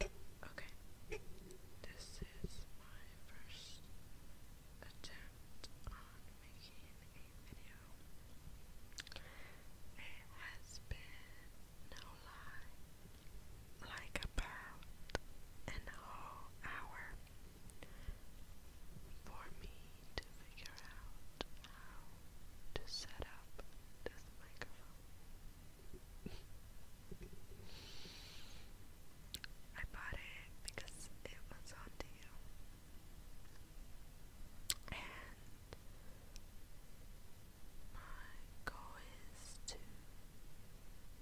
Okay, this is my first attempt on making a video. It has been, no lie, like about an whole hour for me to figure out how to set up this microphone. I bought it because it was on deal. And my goal is to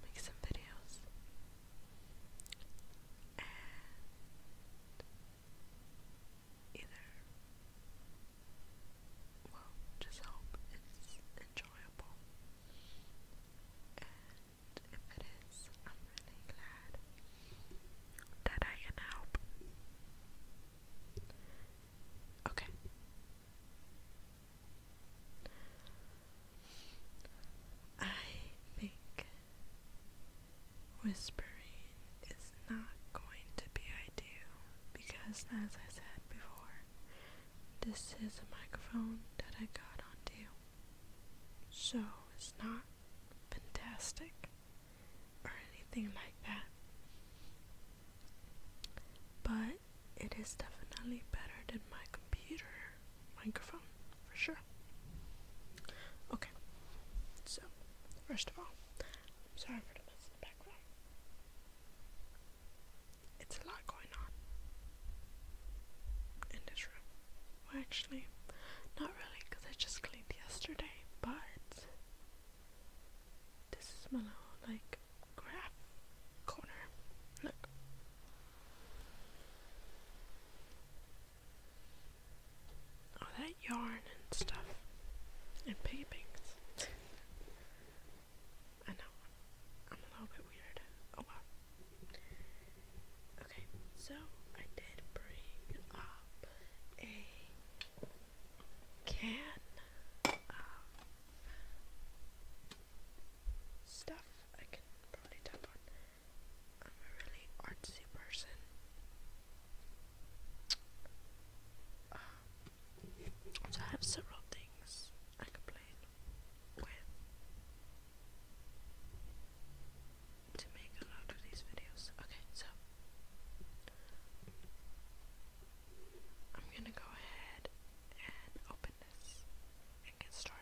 make some videos either well, just hope it's enjoyable. And if it is, I'm really glad that I can help. Okay. I think whispering is not going to be ideal because, as I said before, this is a microphone that I got on deal. So it's not fantastic or anything like that. But it is definitely better than my computer microphone for sure. Okay. So, first of all, I'm sorry for the mess in the background. It's a lot going on in this room. Well, actually, not really, because I just cleaned yesterday, but this is my like, graph corner. Look all that yarn and stuff and paintings. I know I'm a little bit weird. Oh well. Okay, so I did bring up a can of stuff I can probably tap on. I'm a really artsy person. Um, so I have several things I could play with to make a lot of these videos. Okay, so I'm gonna go ahead and open this and get started.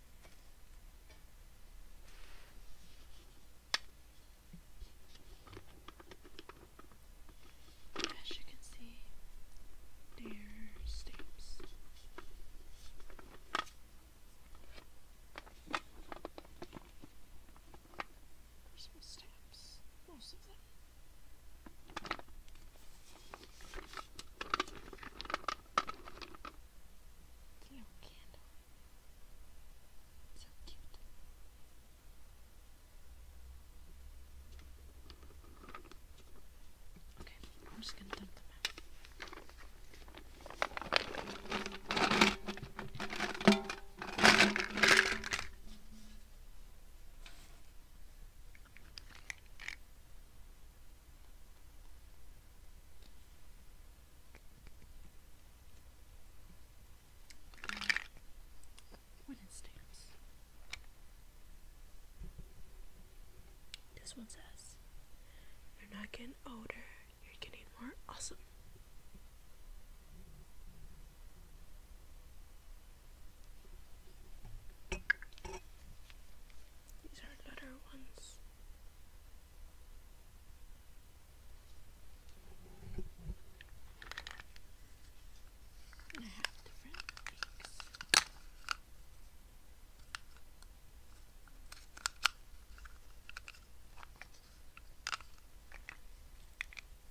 As you can see, they're stamps. Some stamps, most of them. It's a little so cute. Okay, I'm just gonna dump them out. When it stamps. This one says, You're not getting older, you're getting more awesome. These are letter ones. I have different peaks. Little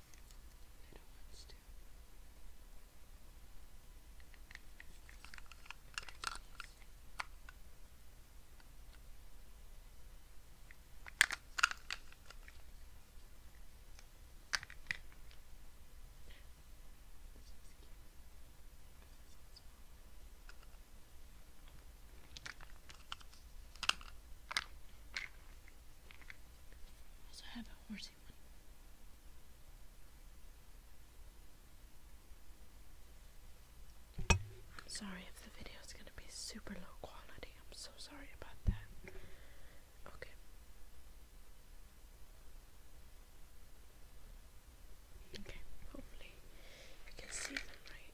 ones too. Pretty also have a horsey one. I'm sorry if the video is going to be super low quality. I'm so sorry about that. Okay. Okay, hopefully you can see them right.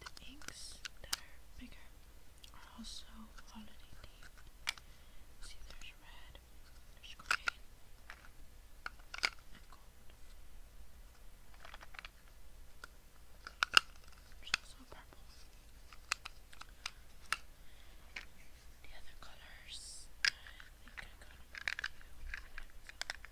The inks that are bigger are also holiday themed. See, there's red, there's green, and gold. There's also purple. The other colors, I think I got them you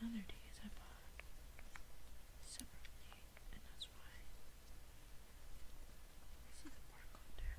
And other days I bought separately, and that's why see the barcode there.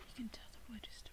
You can tell the wood is different.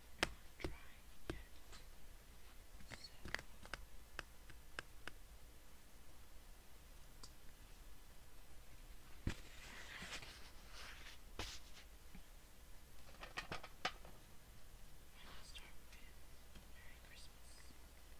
I'm trying it. So. I'll start with Merry Christmas. Merry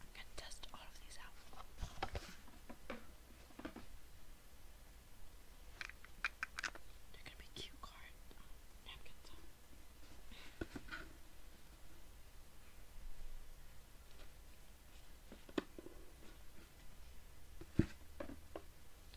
I'm going to test all of these out. They're going to be cute card napkins.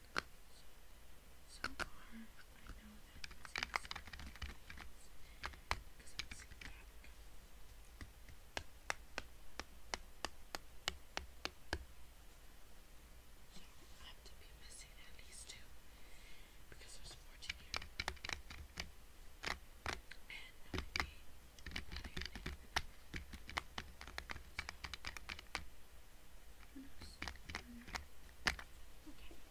so far, I know that this because i have to be missing at least two because there's 14 And that would be who knows? Okay.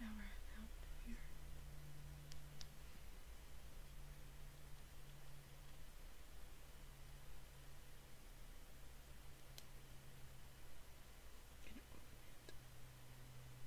Now we're out here. Can you open it?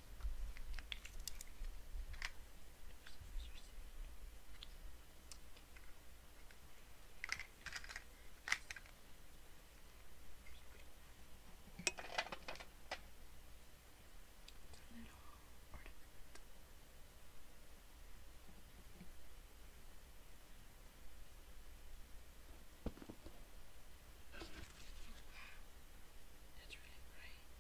That's really bright.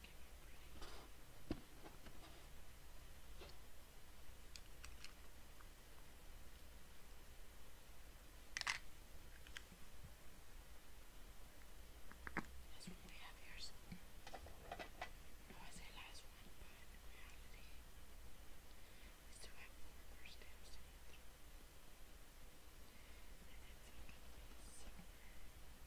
this one we have here. So no, I say last one, but in reality, we still have four more steps to get through. And it's a little silver.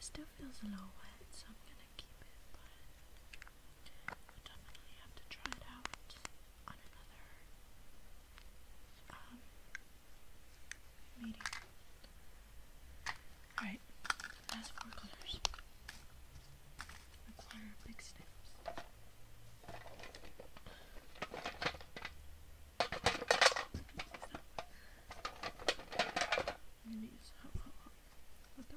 It still feels a little wet, so I'm gonna keep it, but I'll definitely have to try it out on another um, meeting. Alright, last four Require big steps. i hot, hot, hot with the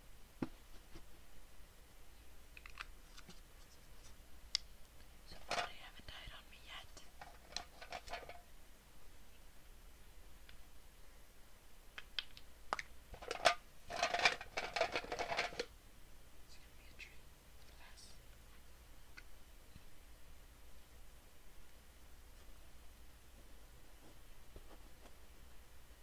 So far not died on me yet. It's gonna be a tree. Less.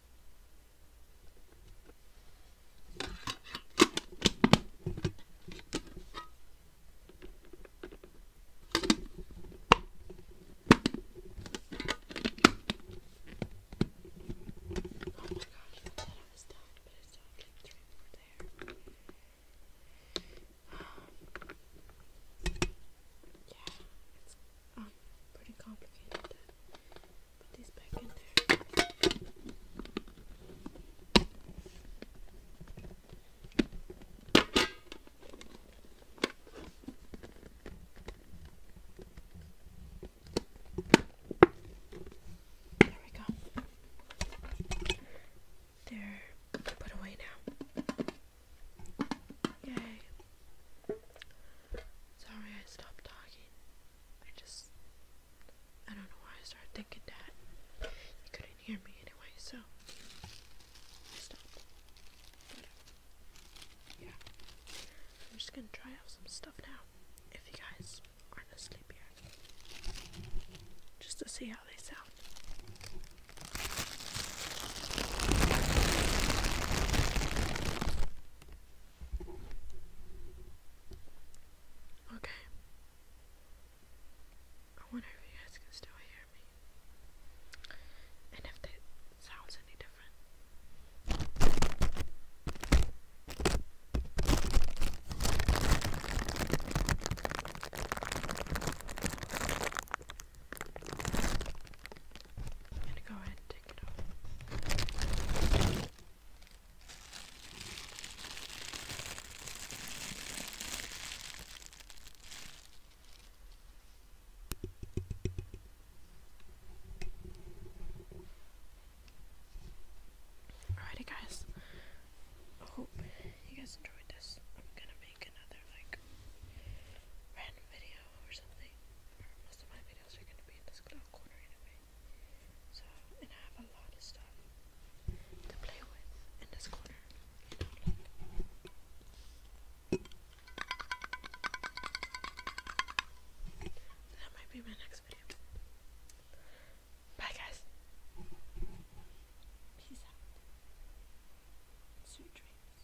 Oh my god! I thought I was done, but it's still like three there. Um, yeah, it's um, pretty complicated. Put these back in there. There we go. They're put away now. Yay. Sorry I stopped talking. I just I don't know why I started thinking that. You couldn't hear me anyway, so I yeah. I'm just gonna try out some stuff now. If you guys aren't asleep yet. Just to see how they sound. Okay. I wonder if you guys can still hear me. And if that sounds any different. I'm gonna go ahead and take it off. Alrighty, guys. I oh, hope you guys enjoyed this. I'm gonna make another like random video or something. most of my videos are gonna be in this little corner anyway. So, and I have a lot of stuff to play with in this corner. That might be my next video. Bye, guys. Peace out. Sweet dreams.